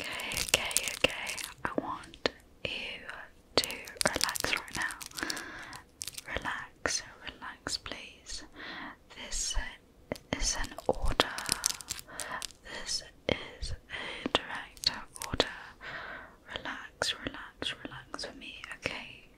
Okay, okay, okay. I want you to relax right now. Relax, relax, please. This is an order. This is a direct order. Relax, relax, relax for me, okay?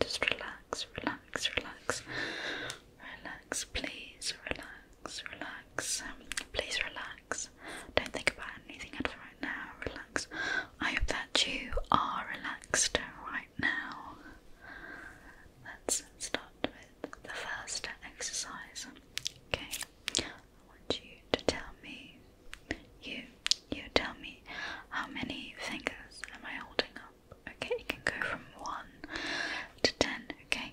Just relax, relax, relax. Relax, please, relax relax, Please relax. Don't think about anything else right now. Relax. I hope that you are relaxed right now. Let's start with the first exercise. Okay. I want you to tell me, you, you tell me how many fingers am I holding up? Okay, you can go from one to ten, okay?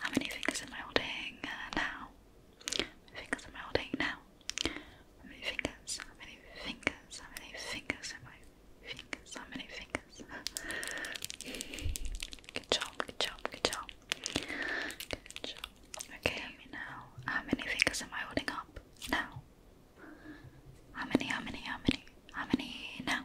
How many fingers am I holding uh, now? fingers am I holding now? How many fingers? How many fingers? How many fingers am I? Fingers, how many fingers? good job, good job, good job. Good job. Okay, now. How many fingers am I holding up now? How many, how many, how many? How many now?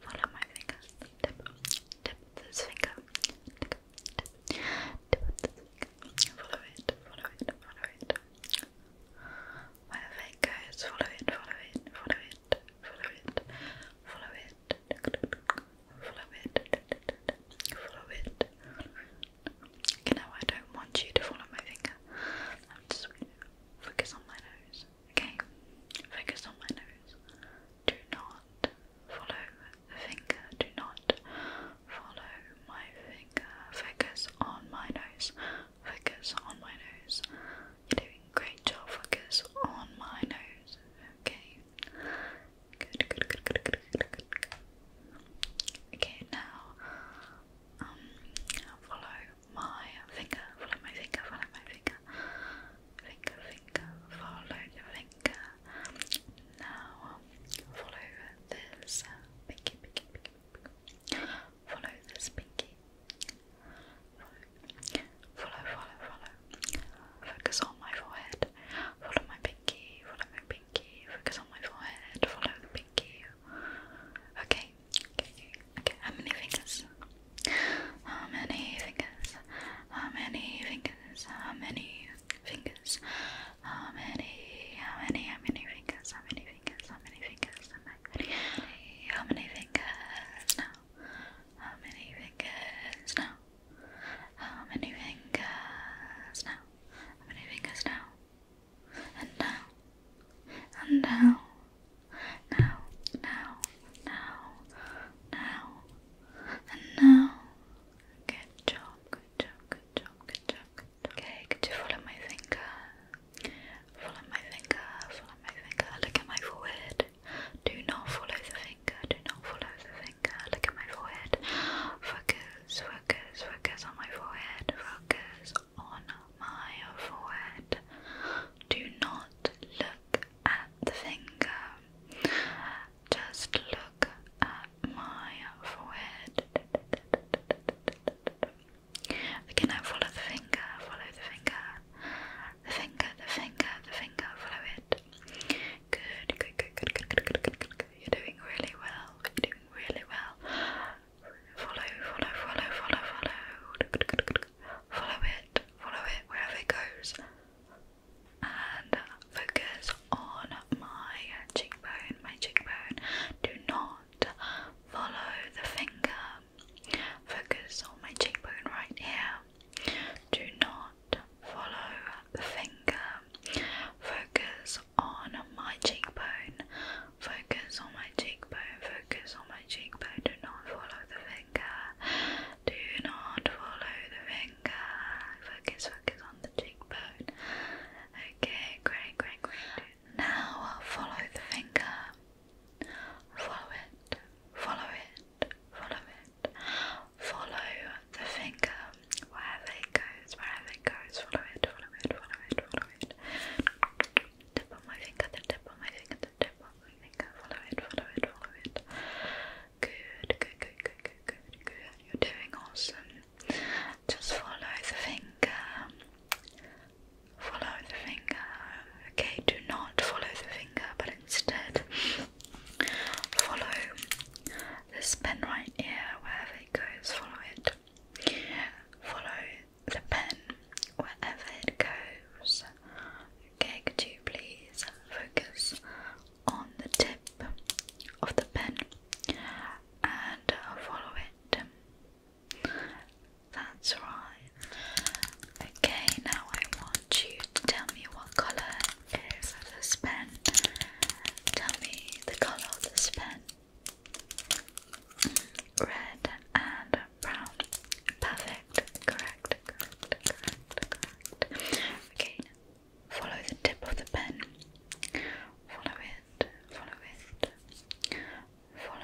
follow my fingers. Tip, tip this finger. Tip, tip, tip this finger. Follow it, follow it, follow it. Wherever it goes, follow it, follow it, follow it, follow it, follow it, follow it, follow it. You know, I don't want you to follow my finger. I'm just going to focus on my nose okay? Focus on my nose. Do not follow finger. Do not follow my finger. Focus on my nose. Focus on my nose. You're doing great job. Focus on my nose, okay? Good, good, good, good, good, good, good. Okay, now, um, follow my finger, follow my finger, follow my finger finger, finger, follow your finger. Now follow this uh, pinky, pinky, pinky, Follow this pinky. follow, follow, follow. Focus on my forehead. Follow my pinky, follow my pinky. Focus on my forehead. Follow the pinky. Okay, okay, okay. How many fingers? How many fingers? How many fingers? How many fingers? How many? How many? How many fingers? How many fingers? How many fingers? How many? How many fingers? No. How many fingers? No. How many fingers? No. How many fingers now? And now. And now. Now. Now. Now. Now. And now, good job, good job, good job, good job, good job. Okay, could you follow my finger? Follow my finger, follow my finger. Look at my forehead. Do not follow the finger, do not follow the finger. Look at my forehead. Focus, focus, focus on my forehead. Focus on my forehead. Do not look look at the finger. Just look at my forehead. Again, I follow the finger, follow the finger. The finger, the finger, the finger, follow it. Good, good, good, good, good, good, good, good, good, good. You're doing really well. You're doing really well. Follow, follow, follow, follow, follow. Follow it, follow it wherever it goes and focus on my cheekbone, my cheekbone. Do not follow the finger. Focus on my cheekbone right here. Do not follow the finger. Focus on my cheekbone. Focus on my cheekbone. Focus on my cheekbone. Do not follow the finger. Do not follow the finger. Focus, focus on the cheekbone. Okay, great, great, great. Now follow the finger. Follow it. Follow it. Follow it. Follow the finger. Wherever it goes, wherever it goes, follow it, follow it, follow it, follow it. Tip on my finger, the tip on my finger, the tip on follow it, follow it, follow it. Good, good, good, good, good, good, good. You're doing awesome. Just follow the finger. Follow the finger. Okay, do not follow the finger, but instead follow this pen right here, wherever it goes, follow it. Follow the pen wherever it goes. Okay, could you please focus on the tip of the pen and uh, follow it? That's right. Okay, now I want you to tell me what colour is this pen. Tell me the colour of this pen. Red and brown. Perfect. Correct. Correct. Correct. Correct. Okay. Follow the tip of the pen. Follow it. Follow it. Follow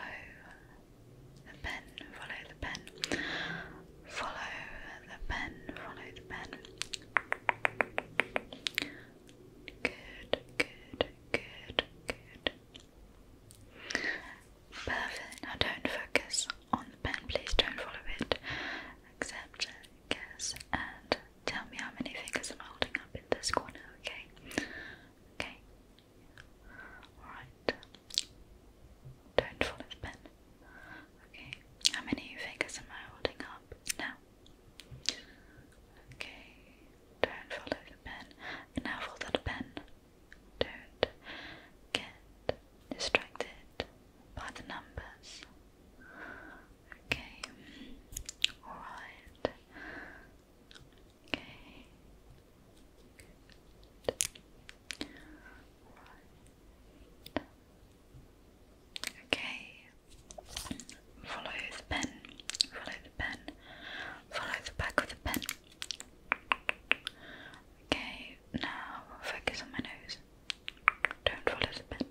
the pen. Follow the pen. Follow the pen. Follow the pen. Good. Good. Good. Good. Perfect. Now don't focus on the pen, please don't follow it. Accept, guess, and tell me how many fingers i holding up in this corner, okay? Okay. Alright. Don't follow the pen. Okay. How many fingers am I holding up now? Okay. Don't follow the pen. now follow the pen. Don't get distracted by the numbers. Okay, alright. Okay. Good. Okay. Follow the pen. Follow the pen. Follow the back of the pen. Okay, now focus on my nose. Don't roll it a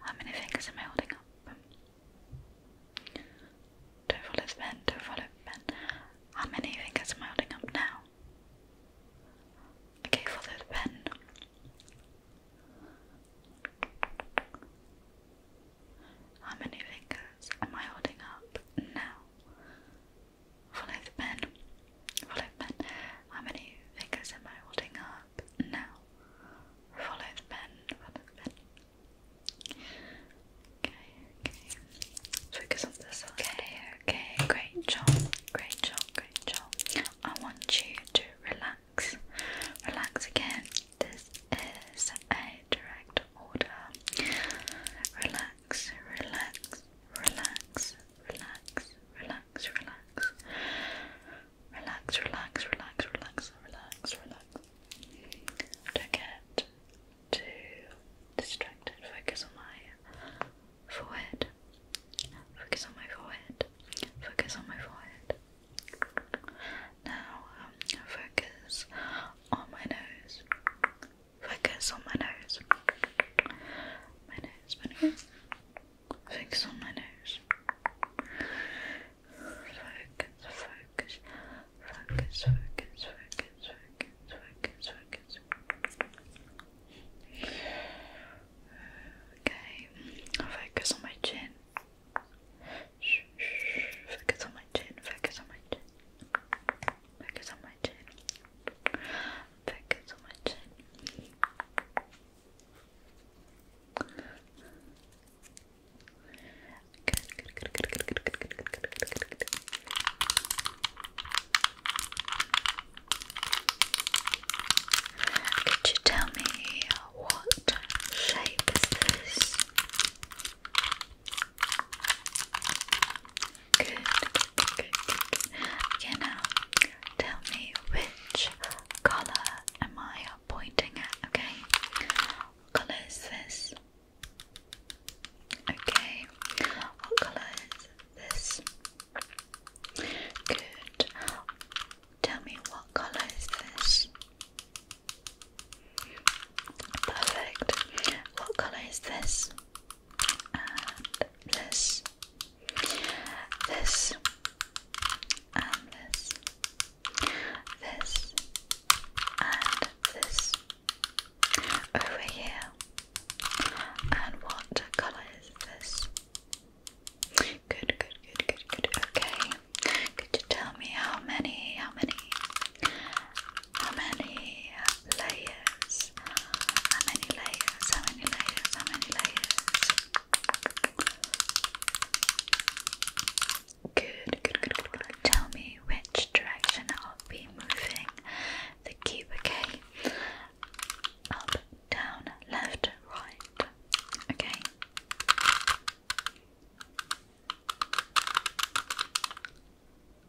How many fingers am I holding up? Don't roll it a don't roll it a How many fingers am I holding up now? Okay, follow the pen. How many fingers am I holding up now? Follow the pen. Follow the pen. How many fingers am I holding up now? Follow the pen. Follow the pen. Okay, okay. Focus on this one. Okay, okay. Great job. Great job. Great job. I want you to relax. Relax again. This is a direct order. Relax relax, relax, relax, relax, relax, relax. Relax, relax, relax, relax, relax, relax. Don't get too distracted. Focus on my forehead. Focus on my forehead. Focus on my forehead. Now, um, focus on my nose. Focus on my nose. My nose, my nose. Focus on my nose. Focus, focus, focus, focus, focus, focus, focus, Okay, focus on my chin. Focus on my chin, focus on my chin. Focus on my chin. Thank you so much. Could you tell me what shape is this? Good, good, good, tell me which color am I pointing at, okay? What color is this? Okay, what color is this? Good. Tell me what color is this? Perfect. What color is this? and this, this, and this, this, and this over here. And what colour is this? Good, good, good, good, good. Okay. Could you tell me how many, how many, how many layers? How many layers? How many layers? How many layers? Good, good, good, good, Tell me which direction I'll be moving the cube, okay? Up, down, left, right. Okay.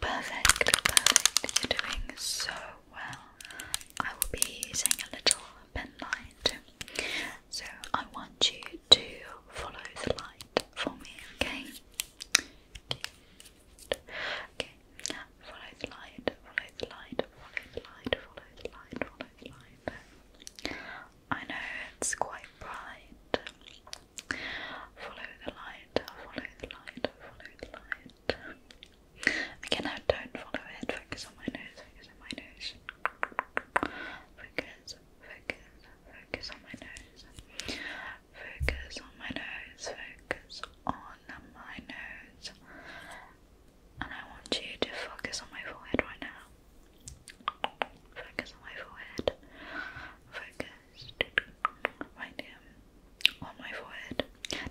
Perfect, perfect. You're doing so well. I will be using a little pen light. So I want you to follow the light for me, okay? Okay. Follow the light, follow the light, follow the light, follow the light, follow the light. I know it's quite bright. Follow the light, follow the light, follow the light. Again, I don't follow it. Focus on my nose, focus on my nose. Focus, focus, focus on my nose. Focus on my nose, focus on my nose. And I want you to focus on my forehead right now. Focus on my forehead. Focus right here on my forehead.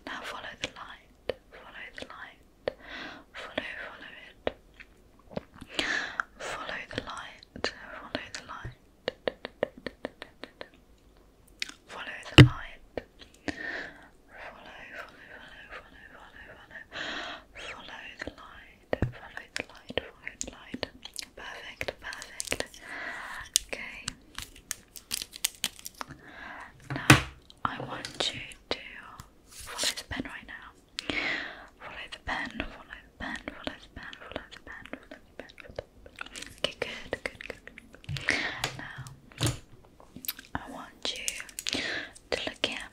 Now follow the light. Follow the light. Follow, follow it. Follow the light. Follow the light. Follow the light. Follow, follow, follow, follow, follow, follow. Follow the light follow the light, follow the light. Perfect, perfect. Okay. Now I want you to follow the pen right now. Follow the pen, follow the pen, follow the pen, follow the pen, follow the pen. Okay, good, good, good, Now I want you to look here.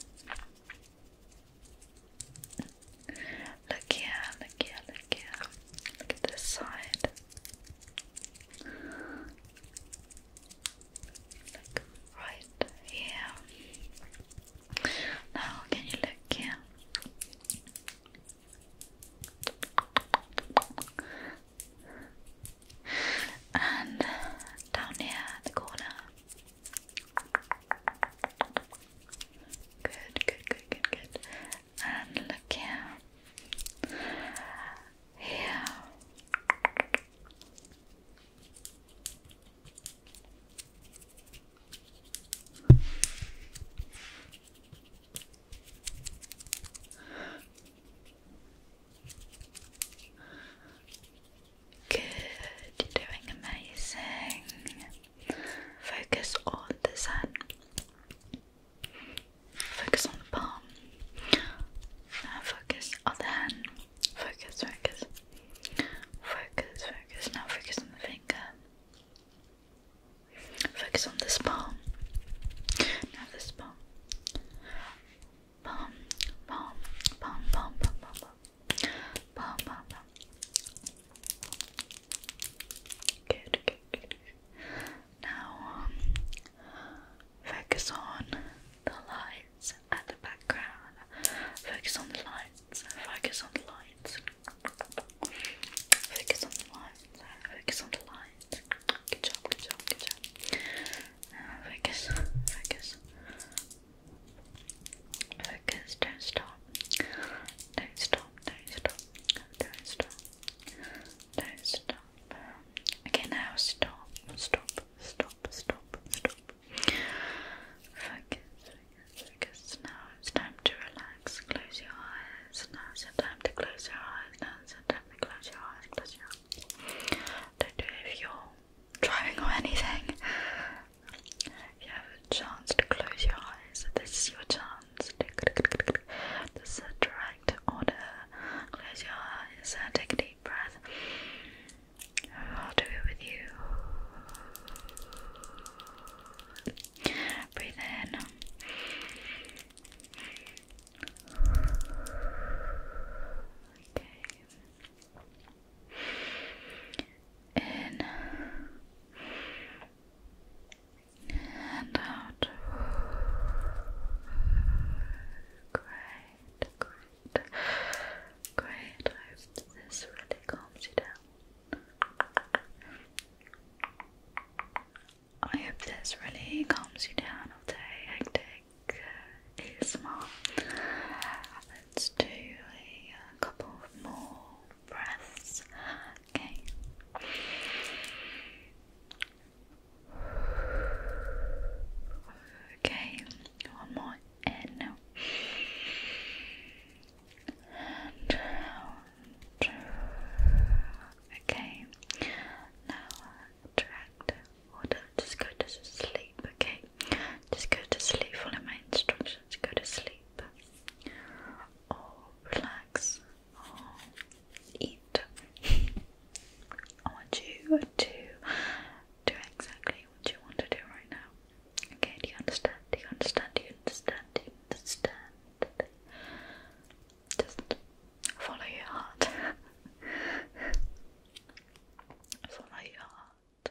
Look here, look here, look at this side. Look right here. Now, can you look here? And down here the corner. Good, good, good, good, good. And look here. Here. Good, you're doing amazing. Focus on the sun. Focus on the palm. Now focus on the hand. Focus, focus. Focus, focus. Now focus on the finger. Focus on this palm. Now this palm. Palm, palm, palm, palm, palm, palm, palm, now, um, focus on the lights and the background. Focus on the lights. Focus on the lights. Focus on the lights. Focus on the lights. Good job, good job, good job. focus, focus, Focus, don't stop. Don't stop, don't stop, don't stop, don't stop. Okay, now stop, stop, stop, stop, stop. Focus, focus, focus. Now it's time to relax. Close your eyes. Now it's time to close your eyes. Now it's time to close your eyes. Close your eyes. Don't do it if you're driving or anything you have a chance to close your eyes. This is your chance. This is a direct order. Close your eyes and take a deep breath. I'll do it with you. Breathe in in and out. Great, great, great. I hope this really calms you down. I hope this really calms you down after uh, a hectic ASMR let's do a, couple more breaths. Okay. Okay, one more in and out. Okay, now attract water. Just go to sleep. Okay, just go to sleep, follow my instructions, go to sleep, or oh, relax, or oh, eat. I want you to do exactly what you want to do right now. Okay, do you understand? Do you understand? Do you understand? Do you understand? follow your heart. follow your heart.